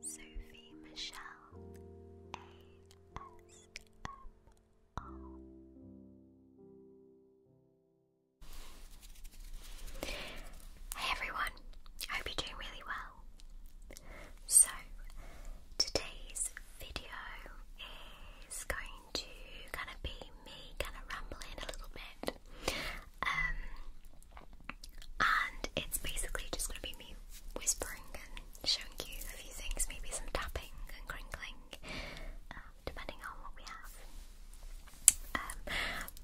Sophie Michelle ASMR. Hey everyone, I hope you're doing really well. So, today's video is going to kind of be me kind of rambling a little bit. Um, and it's basically just going to be me whispering and showing you a few things, maybe some tapping and crinkling, um, depending on what we have. Um,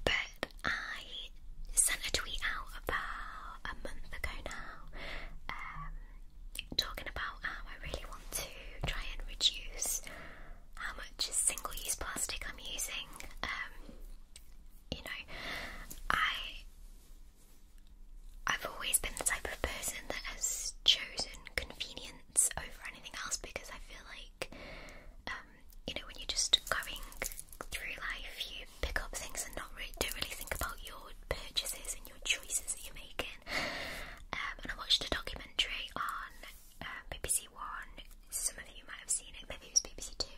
but I sent a tweet out about a month ago now, um, talking about how I really want to try and reduce how much single-use plastic I'm using you know, I I've always been the type of person that has chosen convenience over anything else because I feel like um, you know, when you're just going through life you pick up things and not really don't really think about your purchases and your choices that you're making. Um, and I watched a documentary on uh, BBC One. Some of you might have seen it, maybe it was BBC Two,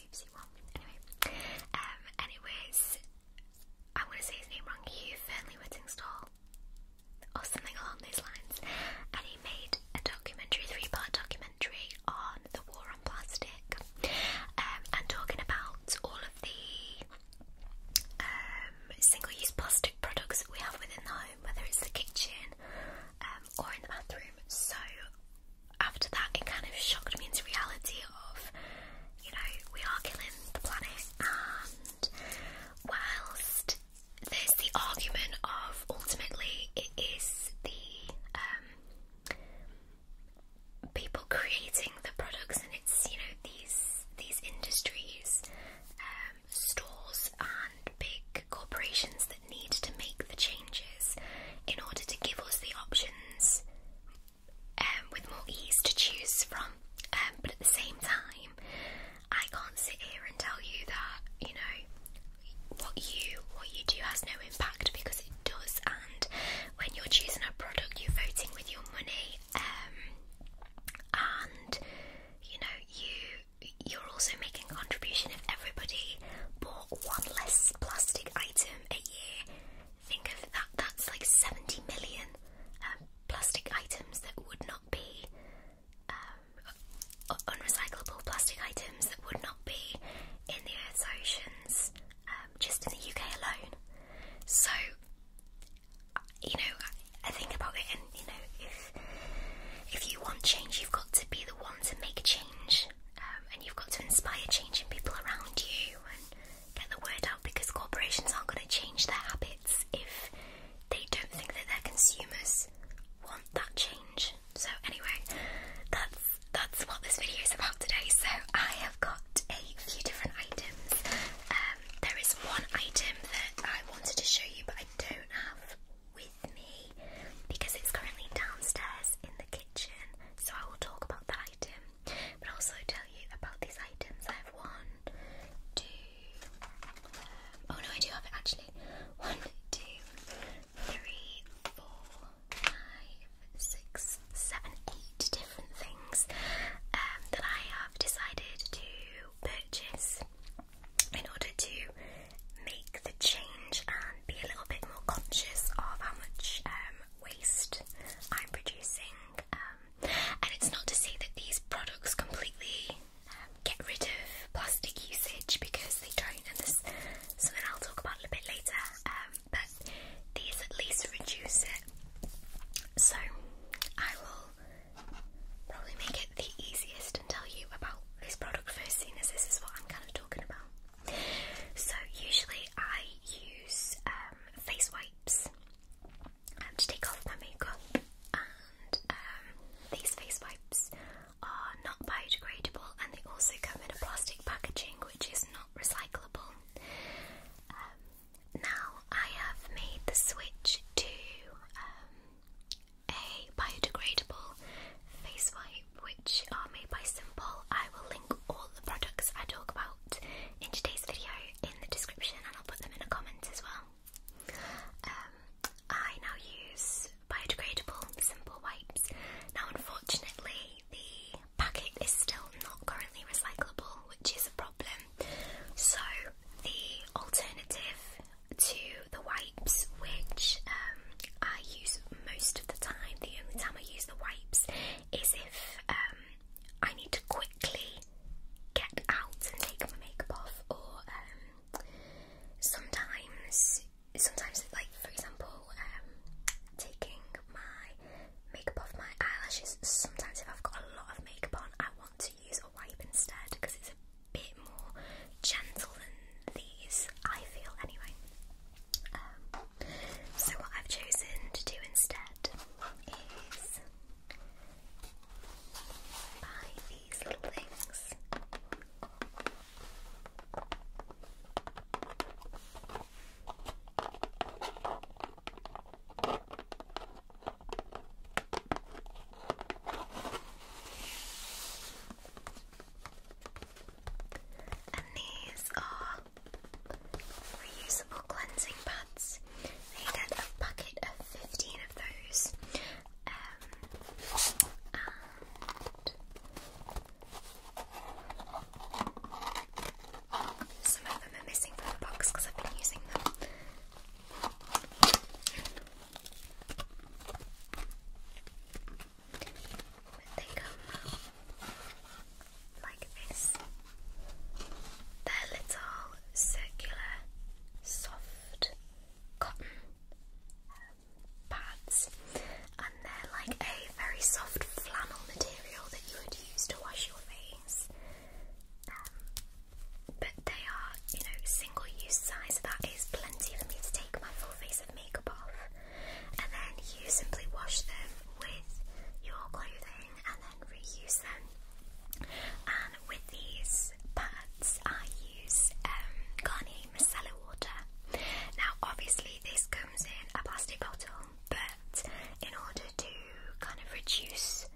anyway um, anyways I'm gonna say his name wrong Hugh Fernley Whittingstall or something along those lines and he made a documentary three part documentary on the war on plastic um, and talking about all of the um, single use plastic products that we have within the home whether it's the kitchen or in the bathroom so after that, it kind of shocked me into reality of, you know, we are killing the planet, and whilst there's the argument of ultimately it is the um, people creating the products, and it's you know these these industries, um, stores, and big corporations that need to make the changes in order to give us the options um, with more ease to choose from. Um, but at the same time, I can't sit here and tell you that you know what you what you do has no impact because it does. And when you're choosing a product, you're voting with your money, um, and you know you you're also making a contribution. If everybody bought one less plastic item a year. Think of that, that's like 70 million um, plastic items that would not be um, unrecyclable plastic items that would not be in the Earth's oceans um, just in the UK alone. So, you know, I think about it, and you know, if if you want change, you've got to be the one to make change. Um, and you've got to inspire changing people around you and get the word out because corporations aren't going to change their habits if they don't think that their consumers want that change. So anyway, that's that's what this video is about today. So I have got a few different items. Um, there is one item that I wanted to show you, but I don't have with me because it's currently downstairs in the kitchen, so I will talk about that item but also tell you about these items. I have one, um, oh no, I do have actually. One, two, three, four, five, six, seven, eight different things um, that I have decided to purchase in order to make the change and be a little bit more conscious of how much um, waste I'm producing. Um, and it's not to say that these products completely um, get rid of plastic usage because they don't, and there's something I'll talk about a little bit later. but these at least reduce it. So I will probably make it the easiest and tell you about this product first, seeing as this is what I'm kind of talking about. So usually I use um, face wipes um, to take off my makeup, and um, these face wipes are not biodegradable, and they also come in a plastic packaging which is not recyclable. Um, now I have made the switch to a biodegradable face wipe which are made by Simple. I will link all the products I talk about in today's video in the description and I'll put them in the comment as well. Um, I now use biodegradable Simple wipes. Now unfortunately the packet is still not currently recyclable which is a problem. So the alternative to the wipes which um, I use most of the time. The only time I use the wipes is if um, I need to quickly get out and take my makeup off, or um, sometimes, sometimes like for example, um, taking my makeup off my eyelashes. Sometimes if I've got a lot of makeup on, I want to use a wipe instead because it's a bit more gentle than these. I feel anyway. Um, so what I've chosen to do instead is buy these little things. And these are reusable cleansing pads. You get a bucket of 15 of those. Um, and some of them are missing from the box because I've been using them when they come out like this. They're little circular, soft cotton um, pads, and they're like a very soft flannel material that you would use to wash your face. Um, but they are, you know, single use size. That is plenty for me to take my full face of makeup off and then you simply wash them with your clothing and then reuse them. And with these pads, I use um, Garnier Micellar Water. Now, obviously, this comes in a plastic bottle, but in order to kind of reduce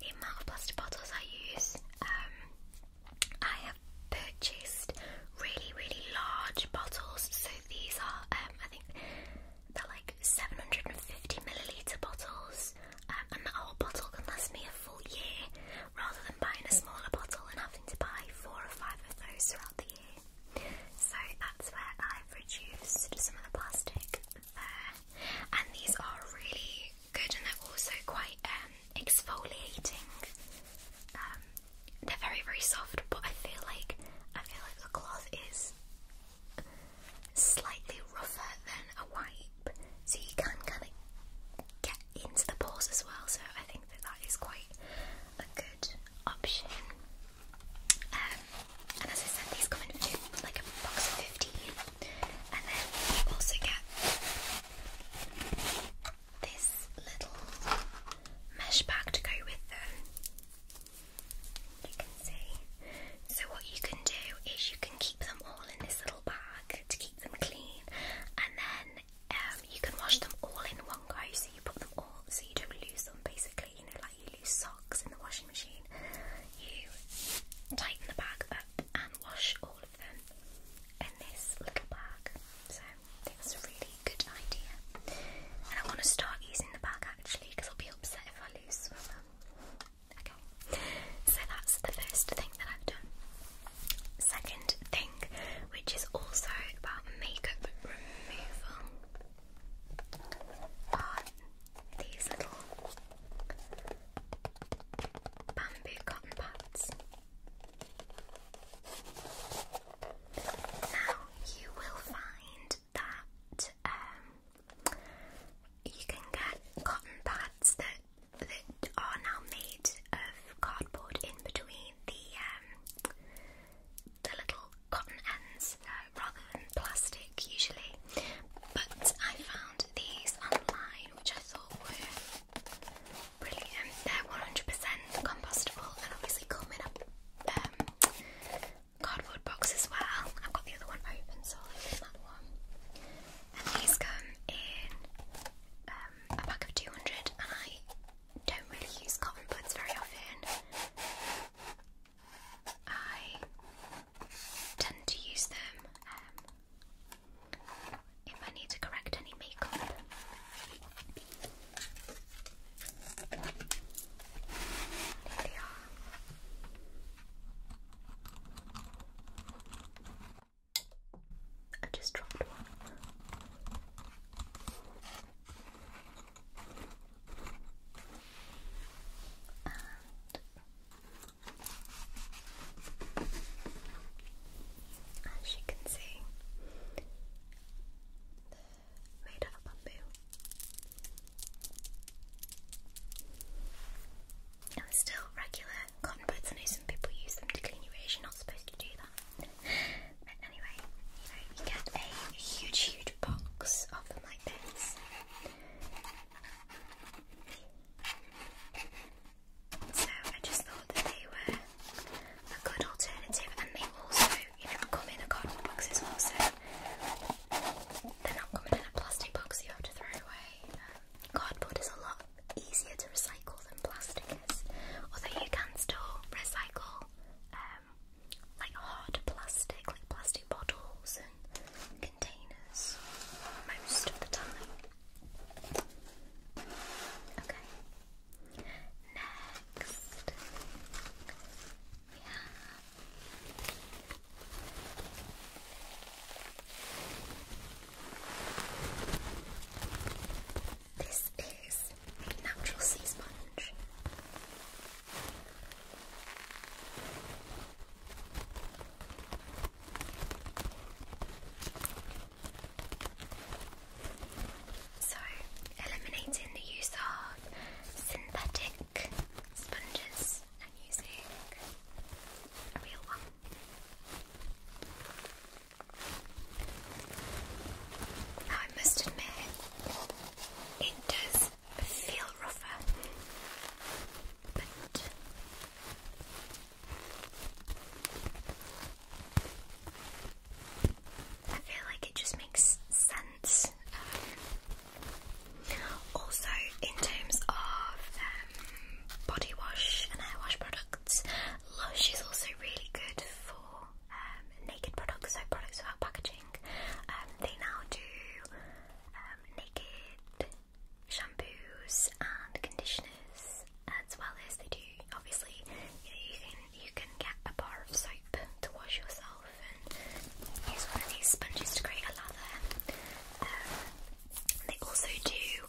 the amount of plastic bottles I use, um, I have purchased really, really large bottles. So these are, um, I think they're like 750 milliliter bottles, um, and that whole bottle can last me a full year rather than buying a smaller bottle and having to buy four or five of those throughout the year. So that's where I've reduced some of the plastic there. And these are really good and they're also quite um, exfoliating. Um, they're very very soft, but I feel like I feel like the cloth is slightly rougher than a wipe, so you can kind of get into the pores as well. So I think that that is quite a good option. Um, and as I said, these come in like a box of fifteen, and then you also get this little mesh bag to go with them. You can see. So, what you can do is you can keep them all in this little bag to keep them clean, and then um, you can wash them all in one go. So, you put them all so you don't lose them basically. You know, like you lose socks in the washing machine, you tighten the bag up and wash all of them in this little bag. So, that's a really good idea. And I want to start using the bag actually because I'll be upset if I lose them. Okay, so that's the first thing that I've done. Second thing, which is also about makeup removal, are these little bamboo cotton pads. Now you will find that um, you can get cotton pads that that are now made of cardboard in between the um, the little cotton ends uh, rather than plastic usually. But I found these online, which I thought were Brilliant. They're 100% compostable and obviously come in um, cardboard box as well. I've got the other one open, so I'll open that one. And these come in um, a pack of 200 and I don't really use cotton buds very often. I tend to use them um, if I need to correct any makeup. There they are. I just dropped one. And as you can see, made out of bamboo. And they're still regular cotton buds. I know some people use them to clean your ears. You're not supposed to do that. But anyway, you get a huge, huge box of them like this. So I just thought that they were a good alternative, and they also you know, come in a cotton box as well, so they're not coming in a plastic box you have to throw away. Um, cardboard is a lot easier to recycle than plastic is, although you can still recycle um, like hard plastic, like plastic bottles and containers most of the time. Okay. Next, we have this is a natural sea sponge. So, eliminating the use of synthetic sponges and using a real one. Now, I must admit, it does feel rougher, but I feel like it just makes sense. Um, also, in terms of um, body wash and hair wash products, Lush is also really good for um, naked products, so products without packaging. Um, they now do um, naked shampoos and conditioners, as well as they do, obviously, you know, you can you can get a bar of soap to wash yourself and use one of these sponges to create a lather. Um, they also do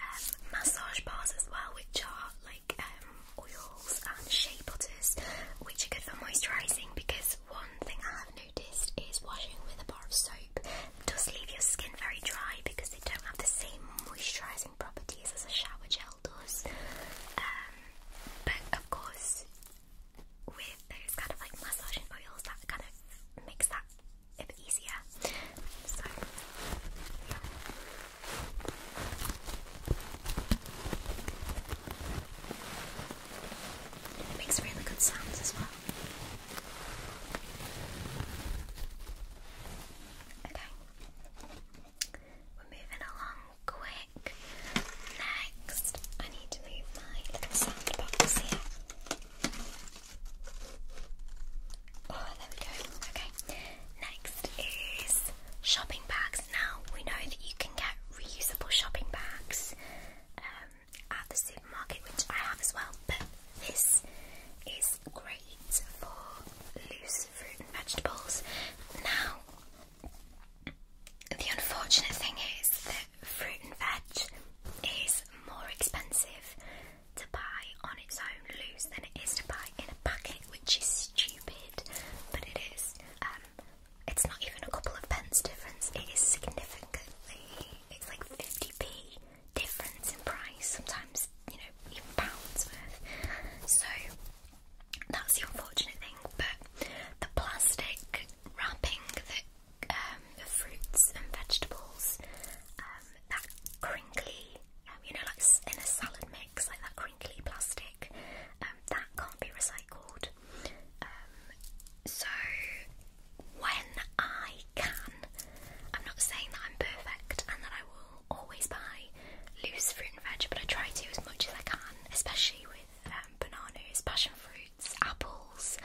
um, massage bars as well, which are like um, oils and shea butters, which are good for moisturising because one thing I have noticed is washing with a bar of soap does leave your skin very dry because they don't have the same moisturising properties as a shower gel um, but of course, with those kind of like massaging oils, that kind of makes that a bit easier. It makes really good sounds as well. Okay. We're moving along quick. Next, I need to move my little sound here. Oh, there we go. Okay. Next is shopping bags. Now, we know that you can get reusable shopping bags um, at the supermarket, which I have as well, but this is great for loose fruit and vegetables. Now, the unfortunate thing is that fruit and veg is more expensive to buy on its own loose than it is to buy in a packet, which is stupid, but it is. Um, it's not even a couple of pence difference, it is significantly, it's like 50p difference in price, sometimes, you know, even pounds worth. So, that's the unfortunate thing, but the plastic wrapping um, the fruits and vegetables, um, that crinkly, um, you know, like in a salad mix, like that crinkly plastic, that can't be recycled. so when I can, I'm not saying that I'm perfect and that I will always buy loose fruit and veg, but I try to as much as I can, especially with um, bananas, passion fruits, apples,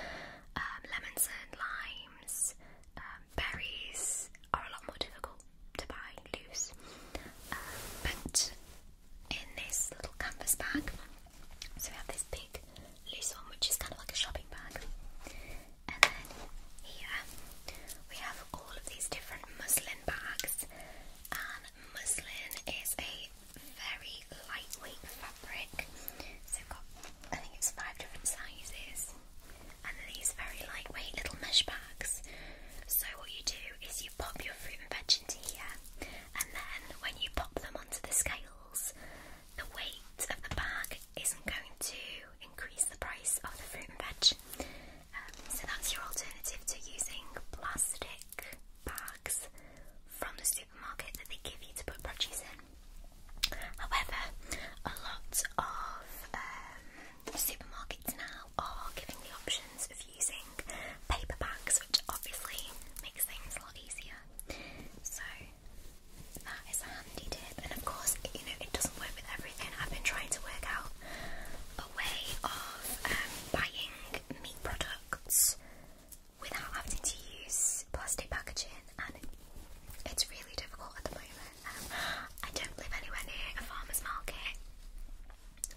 um, lemons and limes, um, berries are a lot more difficult to buy loose. but in this little canvas bag, so we have this big loose one which is kind of like a shopping bag, and then here we have all of these different muslin bags, and muslin is a very lightweight fabric. So i think it's five different sizes, and these very lightweight little mesh bags. So what you do is you pop your fruit and veg into here, and then when you pop them onto the scales, the weight of the bag isn't going to increase the price of the fruit and veg so that's your alternative to using plastic bags from the supermarket that they give you to put produce in. However, a lot of um, supermarkets now are giving the options of using paper bags, which obviously makes things a lot easier. So that is a handy tip, and of course, you know, it doesn't work with everything. I've been trying to work out way of um, buying meat products without having to use plastic packaging, and it's really difficult at the moment. Um, I don't live anywhere near a farmer's market,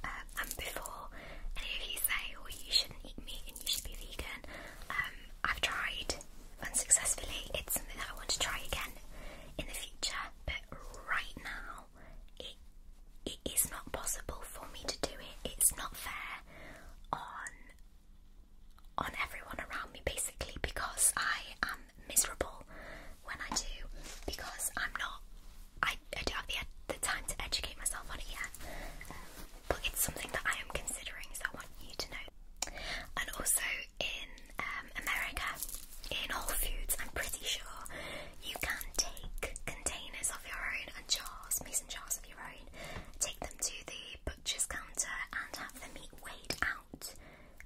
um, and before any of you say, "Oh, you shouldn't eat meat and you should be vegan," I've tried unsuccessfully. It's something that I want to try again in the future, but right now it, it is not possible for me to do it. It's not fair on on everyone around me basically because I am miserable when I do because I'm not I, I don't have the, the time to educate myself on it yet but it's something that I am considering so I want you to know and also in uh, um, America, in all foods, I'm pretty sure you can take containers of your own and jars, mason jars of your own, take them to the butcher's counter and have the meat weighed out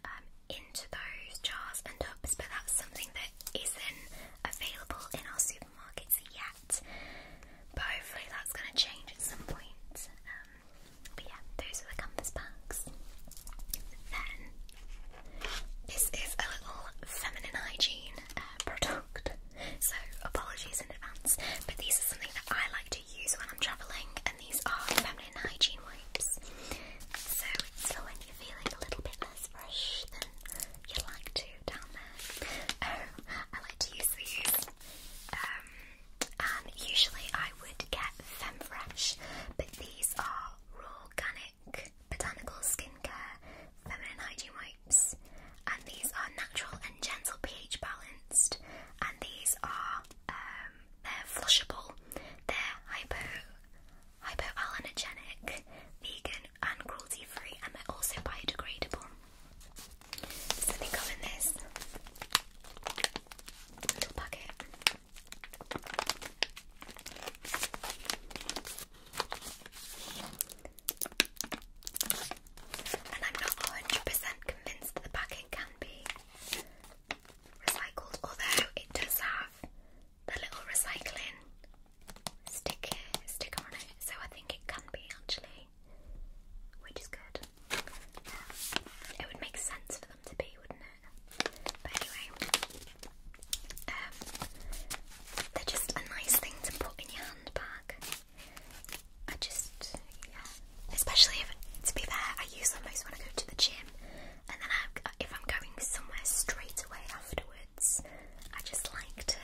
um, into those jars and tubs. But that's something that isn't available in our supermarkets yet. But hopefully that's going to change at some point. Um, but yeah, those are the canvas bags. Then this is a little feminine hygiene uh, product, so apologies in advance. But these are something that I like to use when I'm travelling, and these are feminine hygiene wipes. So it's when you're feeling a little bit less fresh than you'd like to down there. Oh, I like to use these, um, usually I would get Femfresh, but these are raw organic botanical skincare, feminine hygiene wipes, and these are natural and gentle pH balanced, and these are um, they're flushable, they're hypo hypoallergenic, vegan and cruelty free, and they're also biodegradable. So they come in this little packet. And I'm not 100% convinced that the packet can be recycled, although it does have the little recycling sticker, sticker on it, so I think it can be actually, which is good. It would make sense for them to be, wouldn't it? But anyway, um, they're just a nice thing to put in your handbag. I just, yeah, especially to be fair, I use them most when I go to the gym, and then if I'm going somewhere straight away afterwards, I just like to,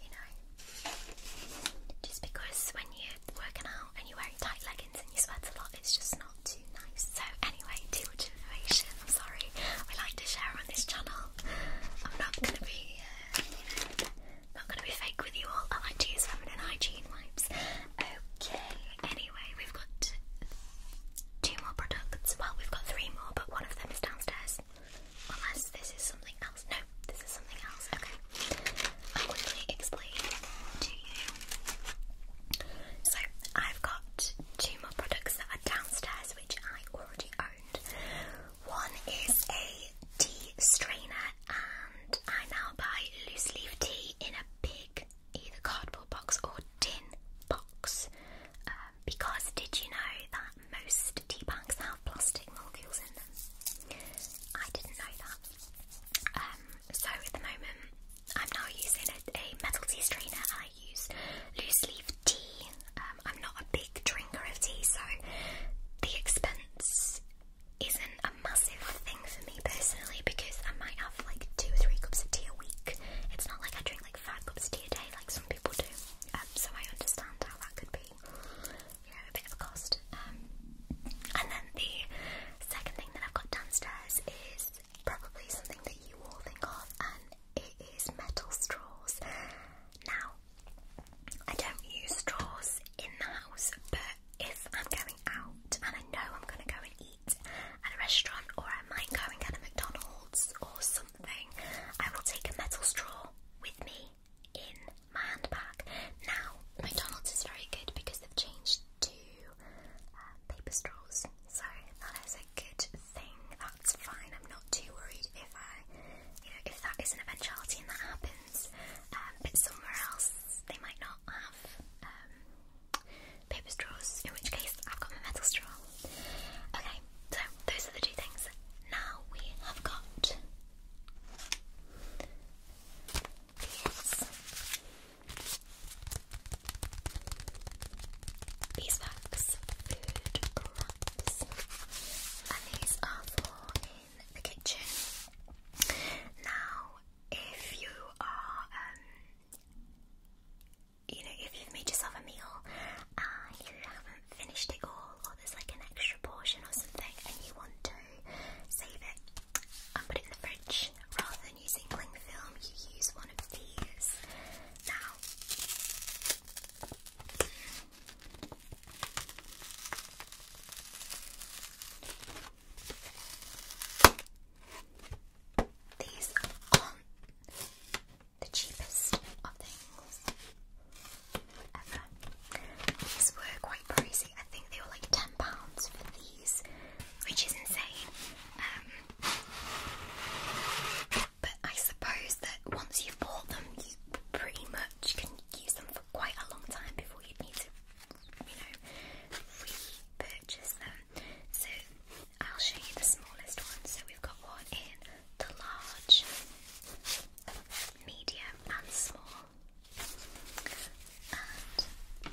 you know, just because when you're working out and you are wearing tight leggings and you sweat a lot, it's just not not too nice. So anyway, Teal Generation, I'm sorry. We like to share on this channel. I'm not gonna be, uh, you know, not gonna be fake with you all. I like to use feminine hygiene wipes. Okay. Anyway, we've got two more products. Well, we've got three more, but one of them is downstairs. Unless this is something else. No, this is something else. Okay. I'll quickly explain to you. So, I've got two more products that are downstairs, which I already owned. One is a tea strainer, and I now buy loose leaf tea in a big either cardboard box or tin box. Um, because did you know that most tea bags have plastic molecules in them? I didn't know that. Um, so at the moment, I'm now using a, metal tea strainer I use loose leaf tea. Um, I'm not a big drinker of tea, so the expense isn't a massive thing for me personally because I might have like two or three cups of tea a week. It's not like I drink like five cups of tea a day like some people do. Um, so I understand how that could be, you know, a bit of a cost. Um, and then the second thing that I've got downstairs is probably something that you all think of, and it is metal straws. Now, I don't use straws in the house, but if I'm going out and I know I'm going to go and eat at a restaurant, or I might go and get a McDonald's or something, I will take a metal straw with me in my handbag. Now, McDonald's is very good because they've changed to paper straws, so that is a good thing. That's fine. I'm not too worried if I, you know, if that is an eventuality and that happens. Um, but somewhere else they might not have um, paper straws. In which case, I've got my metal straw. Okay, so those are the two things. Now we have got beeswax, food wraps, and these are for in the kitchen. Now, if you are, um, you know, if you've made yourself a meal and you haven't finished it all, or there's like an extra portion or something, and you want to save it and put it in the fridge rather than using bling film, you use one of these. Now, these are the cheapest of things ever. These were quite pricey. I think they were like ten pounds for these, which is insane. Um, but I suppose that once you've bought them, you pretty much can use them for quite a long time before you'd need to, you know, repurchase them. So I'll show you the smallest one. So we've got one in the large, medium, and small. And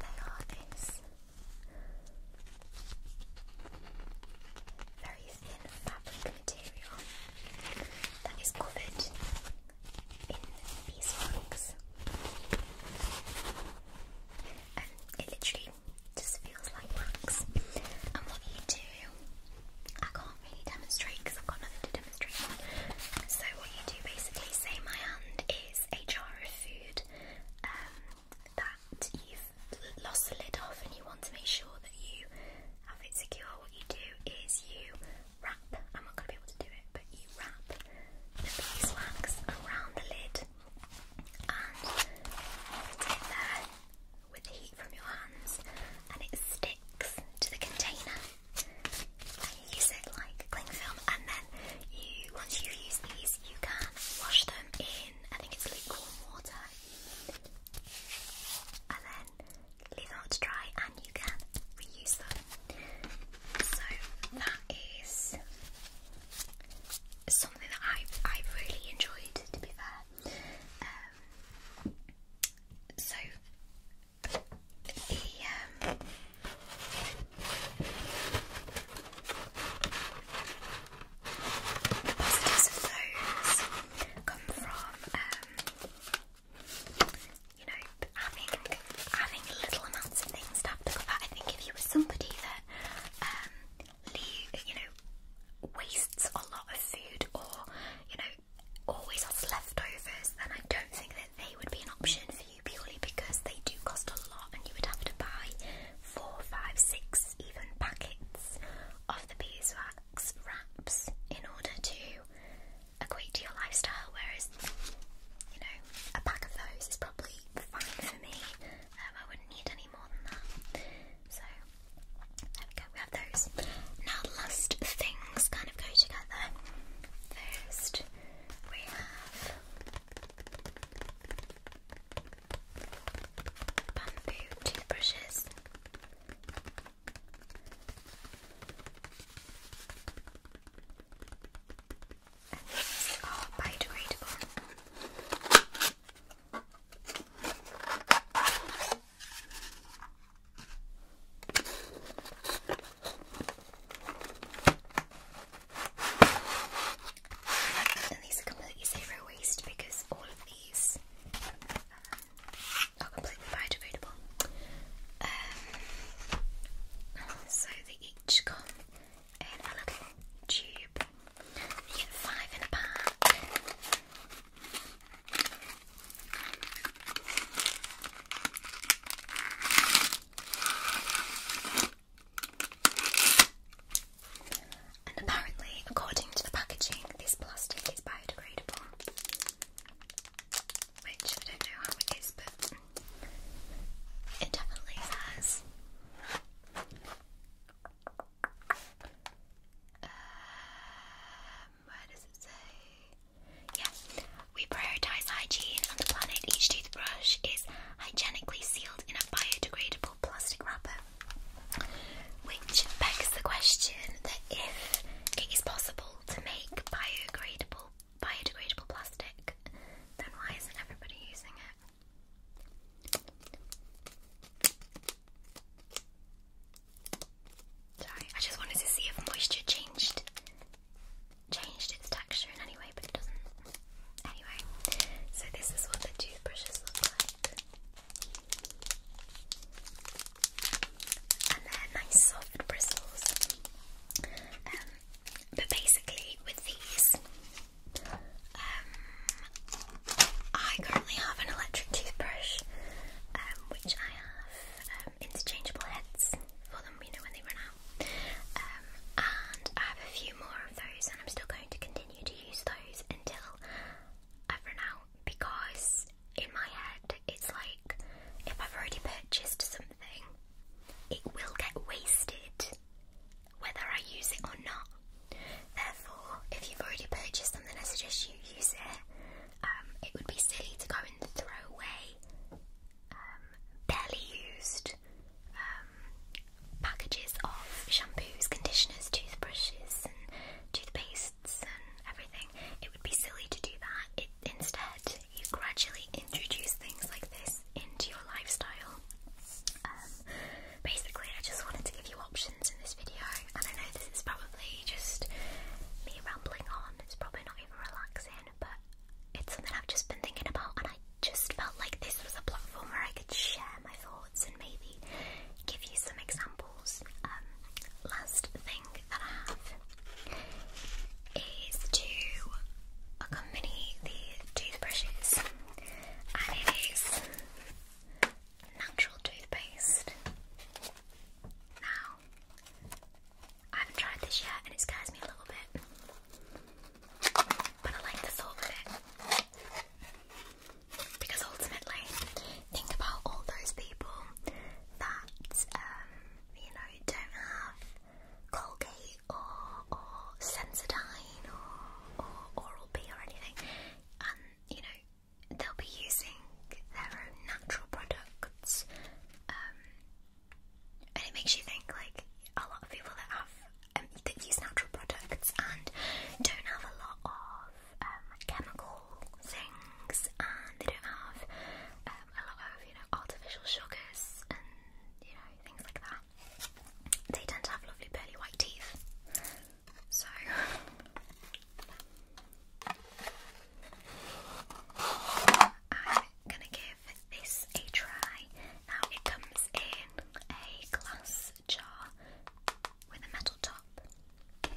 they are this very thin fabric material that is covered in beeswax. And it literally just feels like wax. And what you do, I can't really demonstrate because I've got nothing to demonstrate. So what you do basically, say my hand is a jar of food, um, that you've lost the lid off and you want to make sure that you have it secure, what you do is you wrap, I'm not going to be able to do it, but you wrap the beeswax around the lid and it with the heat from your hands and it sticks to the container. you use it like cling film and then you once you've these you can wash them in, I think it's lukewarm water, and then leave them out to dry, and you can reuse them. So that is something that I've I've really enjoyed, to be fair. Um, so the um, the positives of those come from, um, you know, having having little amounts of things to have to go I think if you were somebody that, um, you know, wastes a lot of food or, you know, always has leftovers, then I don't think that they would be an option for you you purely because they do cost a lot and you would have to buy four, five, six even packets of the beeswax wraps in order to equate to your lifestyle, whereas, you know, a pack of those is probably fine for me. Um, I wouldn't need any more than that. So, there we go, we have those. Now, the last things kind of go together. First, we have bamboo toothbrushes. are biodegradable. And these are completely zero waste because all of these um, are completely biodegradable. Um, so they each come in a little tube. five in a pack. And apparently, according to the packaging, this plastic is biodegradable. Which I don't know how it is, but it definitely has um, where does it say? Yes, we prioritise hygiene on the planet. Each toothbrush is hygienically sealed in a biodegradable plastic wrapper. Which begs the question that if it is possible to make biodegradable biodegradable plastic, then why isn't everybody using it? Sorry, I just wanted to see if moisture changed changed its texture in any way, but it doesn't. Anyway, so this is what the toothbrushes look like. And they're nice soft bristles. Um, but basically, with these, um, I currently have an electric toothbrush, um, which I have interchangeable heads for them, you know, when they run um, and I have a few more of those, and I'm still going to continue to use those until I've run out because in my head it's like if I've already purchased something, it will get wasted whether I use it or not. Therefore, if you've already purchased something, I suggest you use it. Um, it would be silly to go and throw away um, barely used um, packages of shampoos, conditioners, toothbrushes, and toothpastes, and everything. It would be silly to do that. It, instead, you gradually introduce things like this into your lifestyle. Um, basically, I just wanted to give you options in this video, and I know this is probably just me rambling on. It's probably not even relaxing, but it's something I've just been thinking about, and I just felt like this was a platform where I could share my thoughts and maybe give you some examples. Um, last thing that I have is to accompany the toothbrushes, and it is natural toothpaste. Now, I haven't tried this yet, and it scares me a little bit. But I like the thought of it. Because ultimately, think about all those people that, um, you know, don't have Colgate or, Sensodyne or, Oral B or anything. And, you know, they'll be using their own natural products um, and it makes you think like a lot of people that have um, that use natural products and don't have a lot of um, chemical things, and they don't have um, a lot of you know artificial sugars and you know things like that. They tend to have lovely pearly white teeth. So. I'm gonna give this a try now it comes in a glass jar with a metal top. And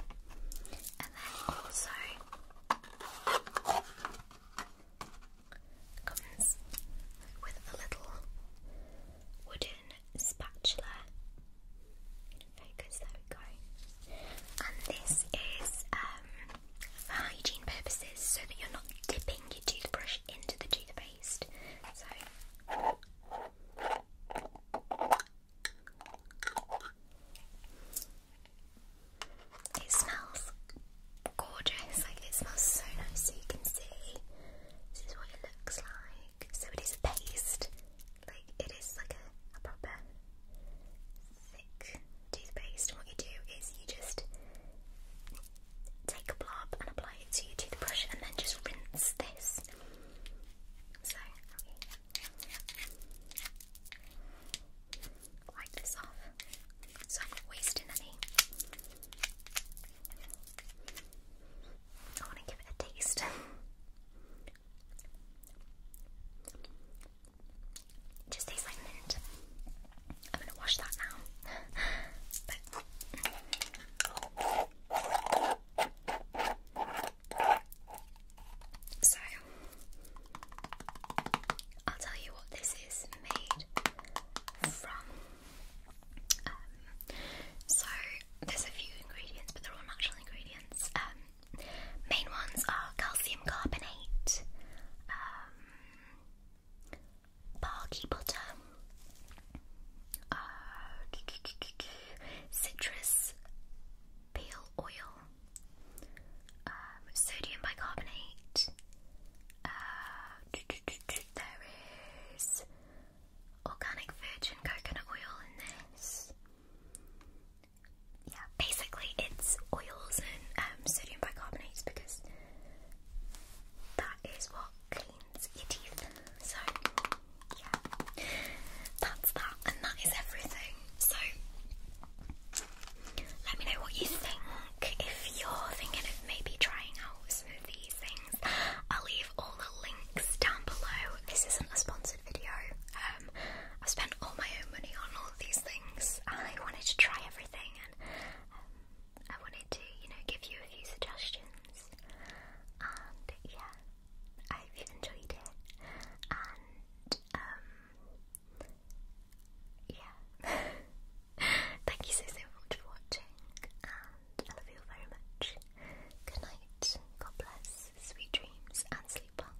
then also comes with a little wooden spatula. Focus, there we go. And this is um, for hygiene purposes so that you're not dipping your toothbrush into the toothpaste. So it smells gorgeous, like it smells so nice. So you can see this is what it looks like. So it is a paste, like it is like a proper thick toothpaste. And what you do is you just take a blob and apply it to your toothbrush and then just rinse this. So, wipe this off so I'm not wasting any. I want to give it a taste. just tastes like I'm gonna wash that now. so, I'll tell you what this is made from. Um, so, there's a few ingredients, but they're all natural ingredients. Um, main ones are calcium carbonate, um, barky butter, uh, citrus peel oil, um, sodium bicarbonate. Uh, there is organic virgin coconut oil in this. Yeah, basically it's oils and um, sodium bicarbonates because that is what cleans your teeth. So, yeah, that's that, and that is everything. So, let me know what you think. If you're thinking of maybe trying out some of these things, I'll leave all the links down below. This isn't a sponsored video. Um, I've spent all my own money on all of these things. I wanted to try everything, um, I wanted to, you know, give you a few suggestions. And yeah, I hope you enjoyed it. And um yeah. Thank you so so much for watching and I love you very much. Good night, God bless, sweet dreams and sleep well.